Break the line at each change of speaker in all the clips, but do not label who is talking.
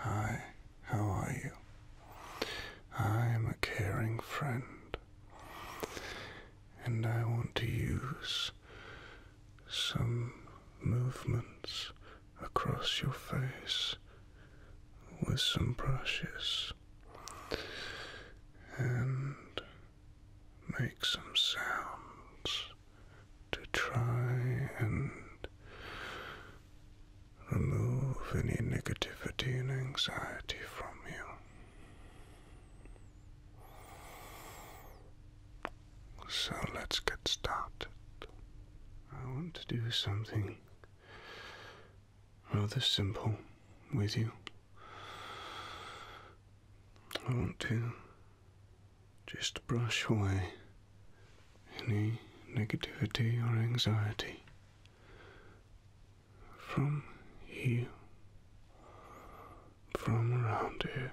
Hi, how are you? I am a caring friend, and I want to use some movements across your face with some brushes and make some sounds to try and remove any negativity and anxiety from you. So let's get started. I want to do something rather simple with you. I want to just brush away any negativity or anxiety from you, from around here.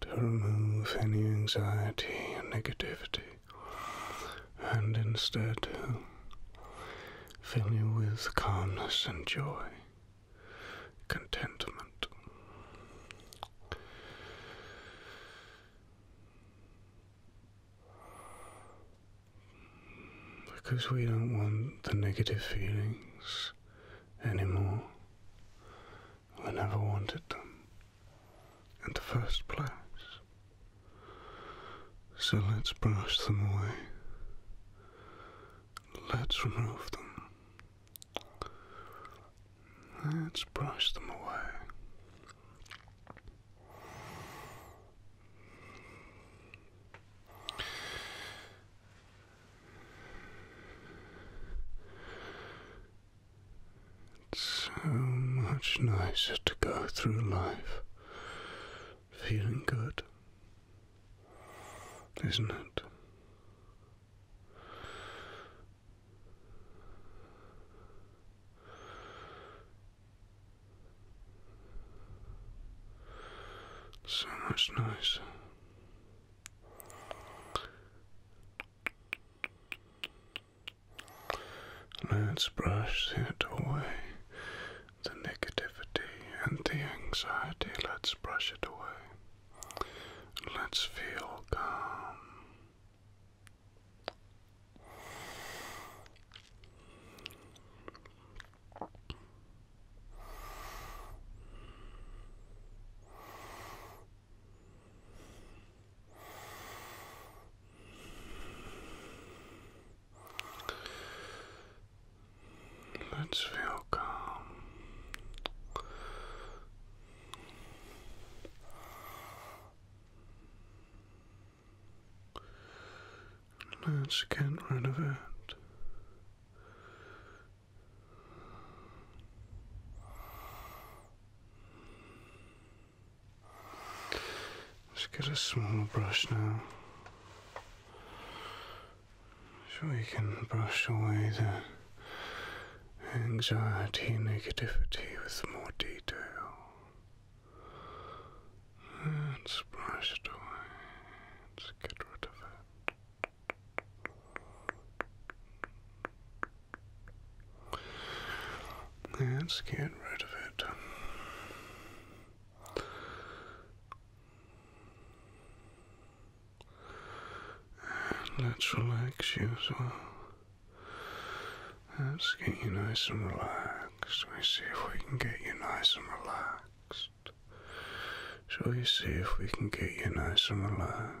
To remove any anxiety and negativity, and instead fill you with calmness and joy contentment. Because we don't want the negative feelings anymore. We never wanted them in the first place. So let's brush them away Let's remove them. Let's brush them away. It's so much nicer to go through life feeling good isn't it? So much nicer. Let's brush it away the negativity and the anxiety, let's brush it away. Let's feel calm. Let's feel calm. Let's get rid of it. Let's get a small brush now so we can brush away the anxiety negativity with more detail. Let's brush it away. Let's get rid of it. Let's get rid of it let's relax you as well. Let's get you nice and relaxed. Let's see if we can get you nice and relaxed. Shall we see if we can get you nice and relaxed?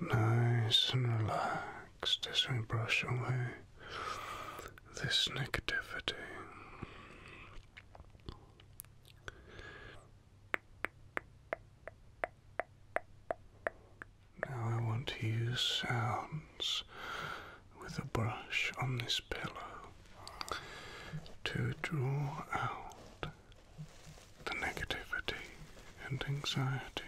Nice and relaxed as we brush away this negativity. Now I want to use sounds with a brush on this pillow to draw out the negativity and anxiety.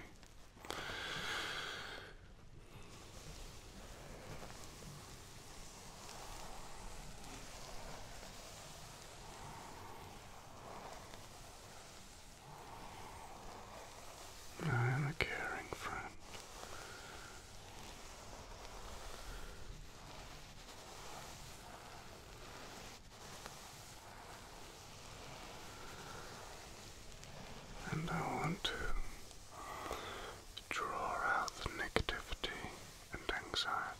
I am a caring friend. And I want to draw out the negativity and anxiety.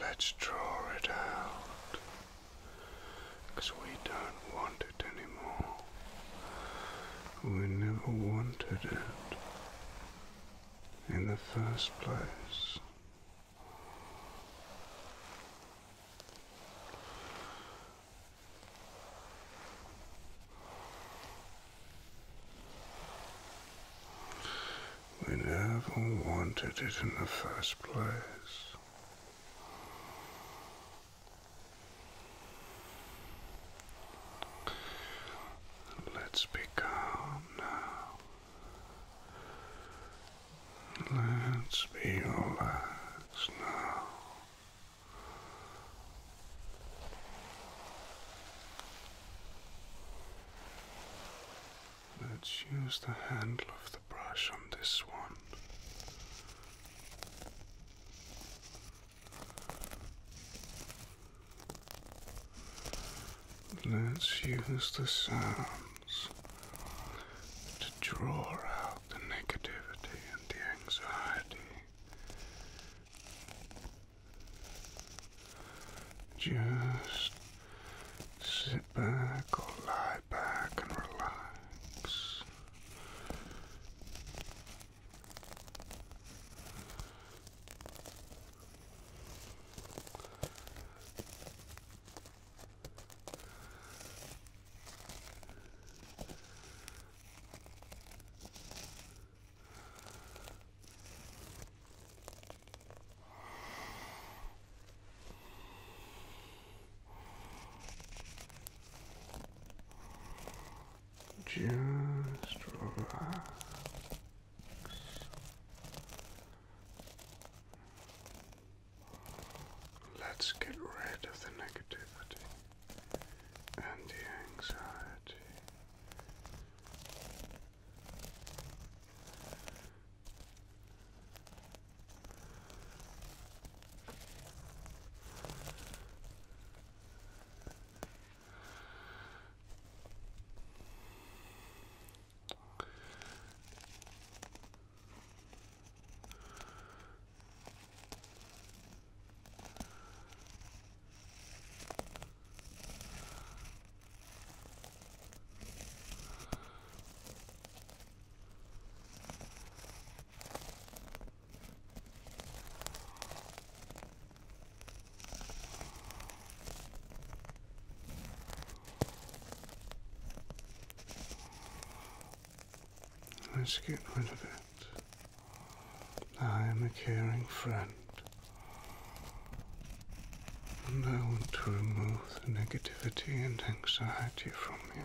Let's draw it out because we don't want it anymore. We never wanted it in the first place. We never wanted it in the first place. Let's be now. Let's be relaxed now. Let's use the handle of the brush on this one. Let's use the sounds to draw out the negativity and the anxiety just sit back or lie back and relax. Just relax. Let's get rid of the negativity and the anxiety. Let's get rid of it. I am a caring friend, and I want to remove the negativity and anxiety from you.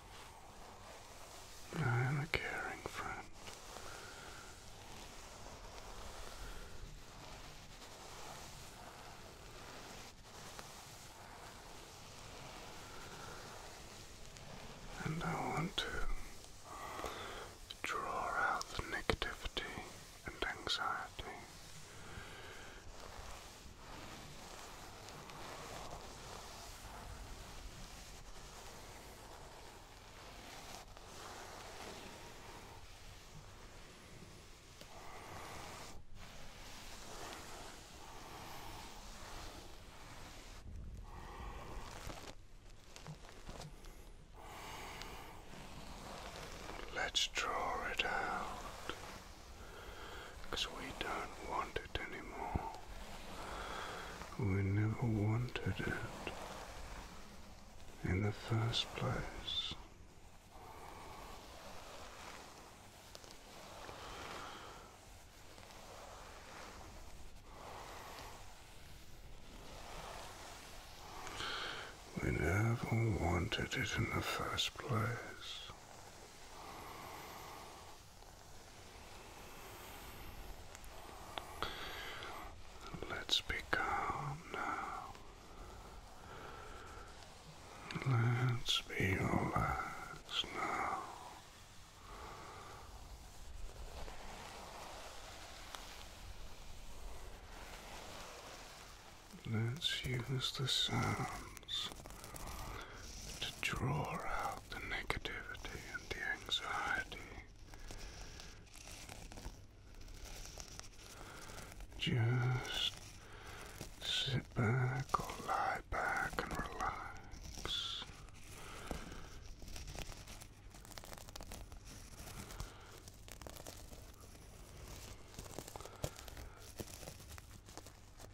I am a caring friend. And I want to draw out the negativity and anxiety Let's draw it out because we don't want it anymore. We never wanted it in the first place. We never wanted it in the first place. Let's be calm now. Let's be relaxed now. Let's use the sounds to draw out the negativity and the anxiety. Just sit back lie back and relax.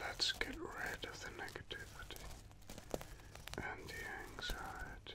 Let's get rid of the negativity and the anxiety.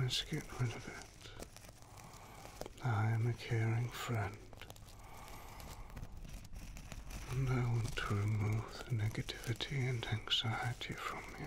Let's get rid of it. I am a caring friend, and I want to remove the negativity and anxiety from you.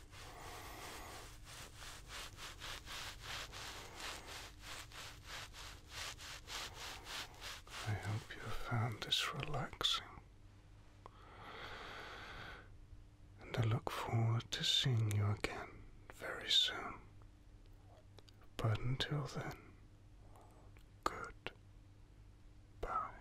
I hope you found this relaxing, and I look forward to seeing you again very soon. But until then, good bye.